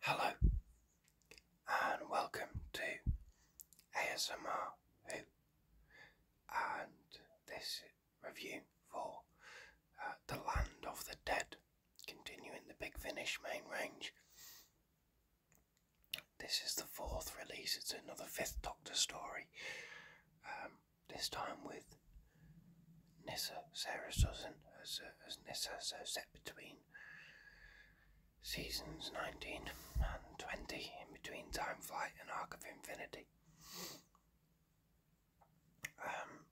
Hello and welcome to ASMR and this review for uh, The Land of the Dead, continuing the Big Finish main range. This is the fourth release, it's another Fifth Doctor story. Um, this time with Nessa, Sarah's Susan as, uh, as Nissa, so set between seasons 19 and 20, in between Time Flight and Arc of Infinity. Um,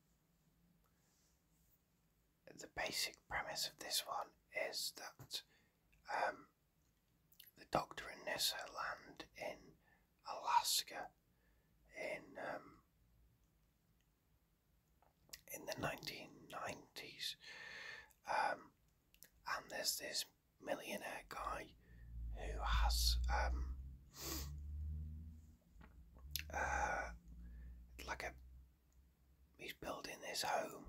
the basic premise of this one is that um, the Doctor and Nessa land in Alaska in um, in the 1990s. Um, and there's this millionaire guy who has um, uh, like a he's building this home,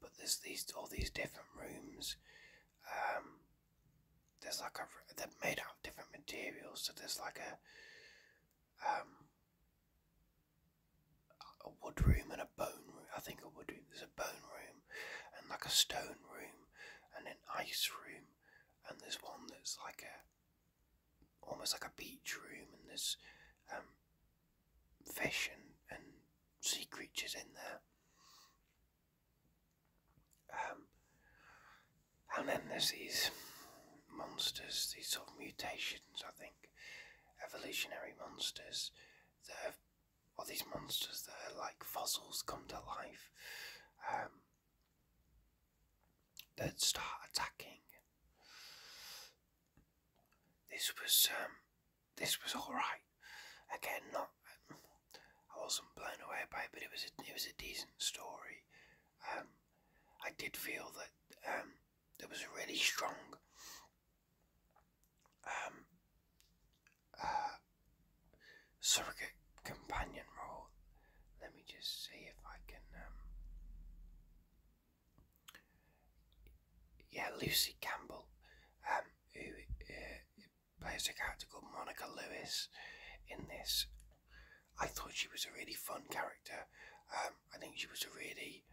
but there's these all these different rooms um, there's like a they're made out of different materials. So there's like a um a wood room and a bone room. I think a wood room. There's a bone room and like a stone room and an ice room and there's one that's like a almost like a beach room and there's um fish and and sea creatures in there. Um, and then there's these monsters, these sort of mutations, I think, evolutionary monsters that are these monsters that are like fossils come to life, um, that start attacking. This was, um, this was alright. Again, not I wasn't blown away by it, but it was a, it was a decent story. Um, I did feel that um, there was a really strong um, uh, surrogate companion role. Let me just see if I can. Um, yeah, Lucy Campbell, uh, plays a character called Monica Lewis in this. I thought she was a really fun character. Um, I think she was a really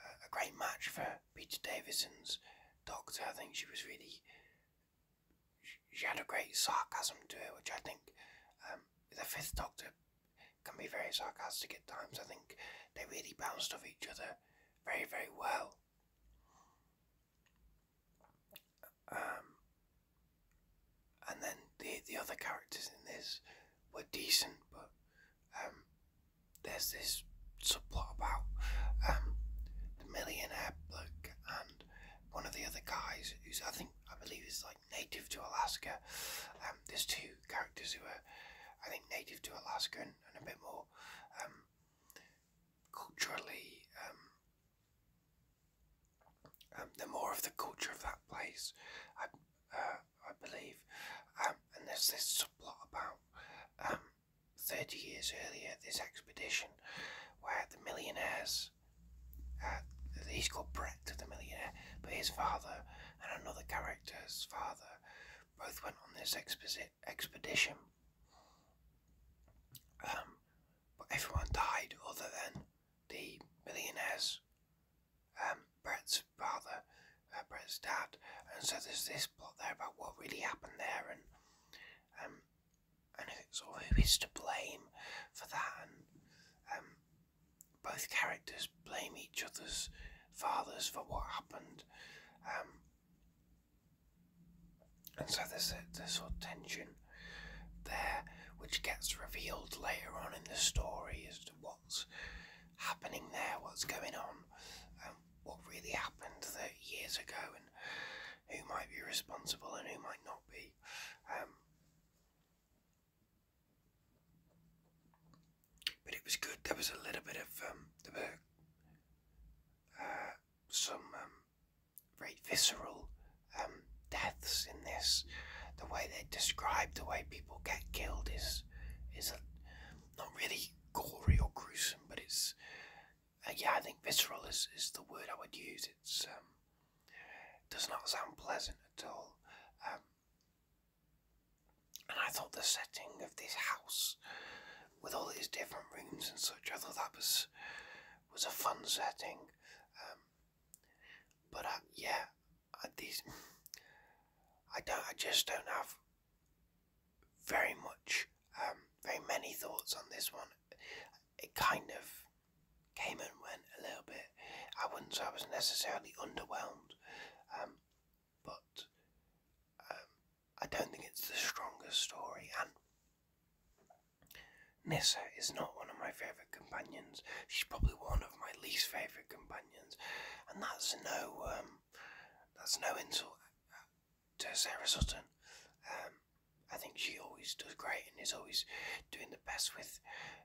uh, a great match for Peter Davison's Doctor. I think she was really she had a great sarcasm to it, which I think um, the Fifth Doctor can be very sarcastic at times. I think they really bounced off each other very, very well. Um, and then the the other characters in this were decent, but um, there's this subplot about um, the millionaire bloke and one of the other guys who's I think I believe is like native to Alaska. there's two characters who are I think native to Alaska and, a bit more culturally, um, um, more of the culture of that place, I, uh, I believe. Um, and there's a plot about um, 30 years earlier, this expedition where the millionaires, uh, he's called Brett, to the millionaire, but his father and another character's father both went on this expedition expedition. Um, but everyone died other than the millionaires, um, Brett's brother, uh, Brett's dad, and so there's this plot there about what really happened there and um, and sort of who is to blame for that and um, both characters blame each other's fathers for what happened. Um, and so there's this sort of tension there, which gets revealed later on in the story as to what's happening there, what's going on, um, what really happened 30 years ago, and who might be responsible and who might not be. Um, but it was good. There was a little bit of um, there were, uh, some um, very visceral um, deaths in this. The way they describe the way people get killed is is a, not really gory or gruesome, but it's uh, yeah. I think visceral is, is the word I would use. It's um, does not sound pleasant at all. And I thought the setting of this house, with all these different rooms and such, I thought that was was a fun setting. Um, but I, yeah, these I don't. I just don't have very much, um, very many thoughts on this one. It kind of came and went a little bit. I wouldn't say I was necessarily underwhelmed, um, but um, I don't think it's the strongest story. And Nissa is not one of my favourite companions. She's probably one of my least favourite companions, and that's no um, that's no insult to Sarah Sutton. I think she always does great and is always doing the best with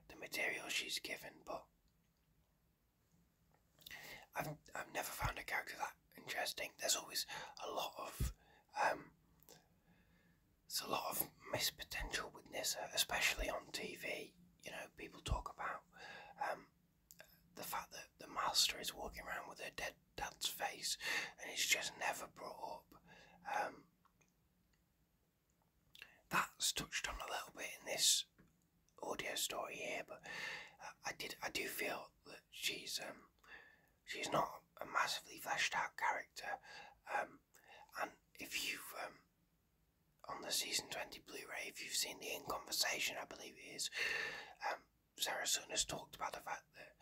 the material she's given, but I've I've never found a character that interesting. There's always a lot of um, there's a lot of missed potential with uh, Nissa, especially on TV. You know, people talk about um, the fact that the master is walking around with her dead dad's face, and it's just never brought up. Um, that's touched on a little bit in this audio story here, but uh, I, did I do feel that she's um, she's not a massively fleshed out character, um, and if you um, on the season twenty Blu-ray, if you've seen the In Conversation, I believe it is, Sarah Sutton has talked about the fact that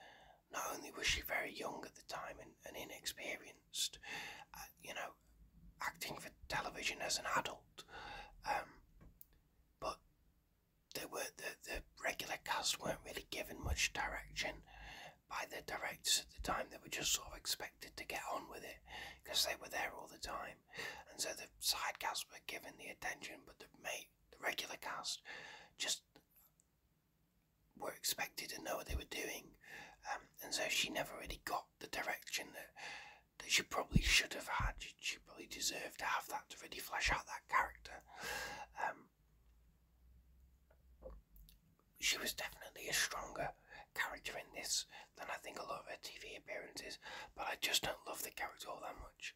not only was she very young at the time and inexperienced uh, you know, acting for television as an adult. Um, but they were the, the regular cast weren't really given much direction by the directors at the time. They were just sort of expected to get on with it because they were there all the time, and so the side cast were given the attention, but the mate, the regular cast, just were expected to know what they were doing, um, and so she never really got the direction that that she probably should have had. She, she probably deserved to have that to really flesh out that character. Um, she was definitely a stronger character in this than I think a lot of her TV appearances, but I just don't love the character all that much.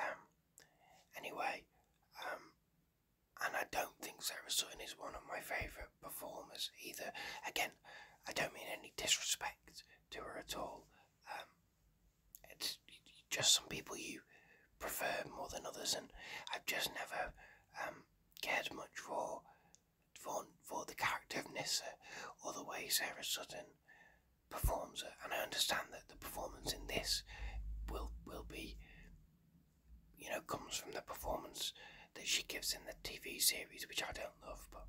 Um, anyway, and I don't think Sarah Sutton is one of my favourite performers either. Again, I don't mean any disrespect to her at all. Um, it's just some people you prefer more than others, and I've just never um, cared much for for the character of Nissa or the way Sarah Sutton performs her. And I understand that the performance in this will will be you know, comes from the performance that she gives in the TV series, which I don't love, but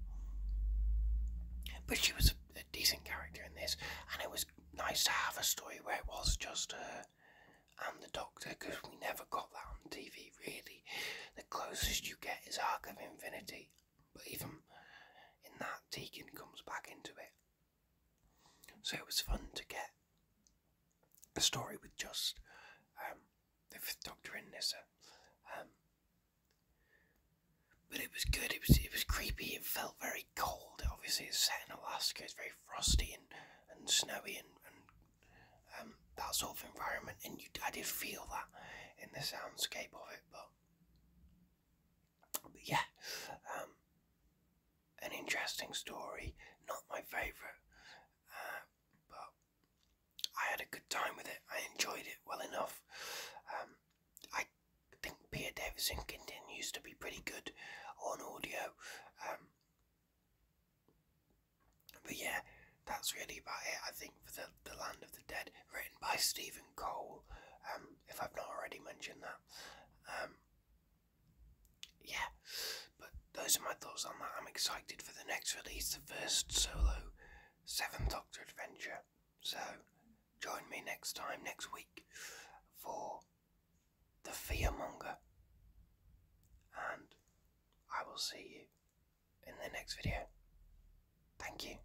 but she was a, decent character in this, and it was nice to have a story where it was just her and the Doctor, because we never got that on TV really. The closest you get is Arc of Infinity, but even in that, Deacon comes back into it. So it was fun to get a story with just um, the Fifth Doctor in this. Um, but it was good. It was it was creepy. It felt very cold. Obviously, it's set in Alaska. It's very frosty and, and snowy and, and um, that sort of environment. And you, I did feel that in the soundscape of it. But, but yeah, an interesting story, not my favourite, uh, but I had a good time with it. I enjoyed it well enough. Um, I think Peter Davison continues to be pretty good on audio. Um, but yeah, that's really about it, I think, for the, the Land of the Dead, written by Stephen Cole, um, if I've not already mentioned that. Um, yeah, but those are my thoughts on that. I'm excited for the next release, the first solo Seventh Doctor adventure. So join me next time, next week, for the Fearmonger. And I will see you in the next video. Thank you.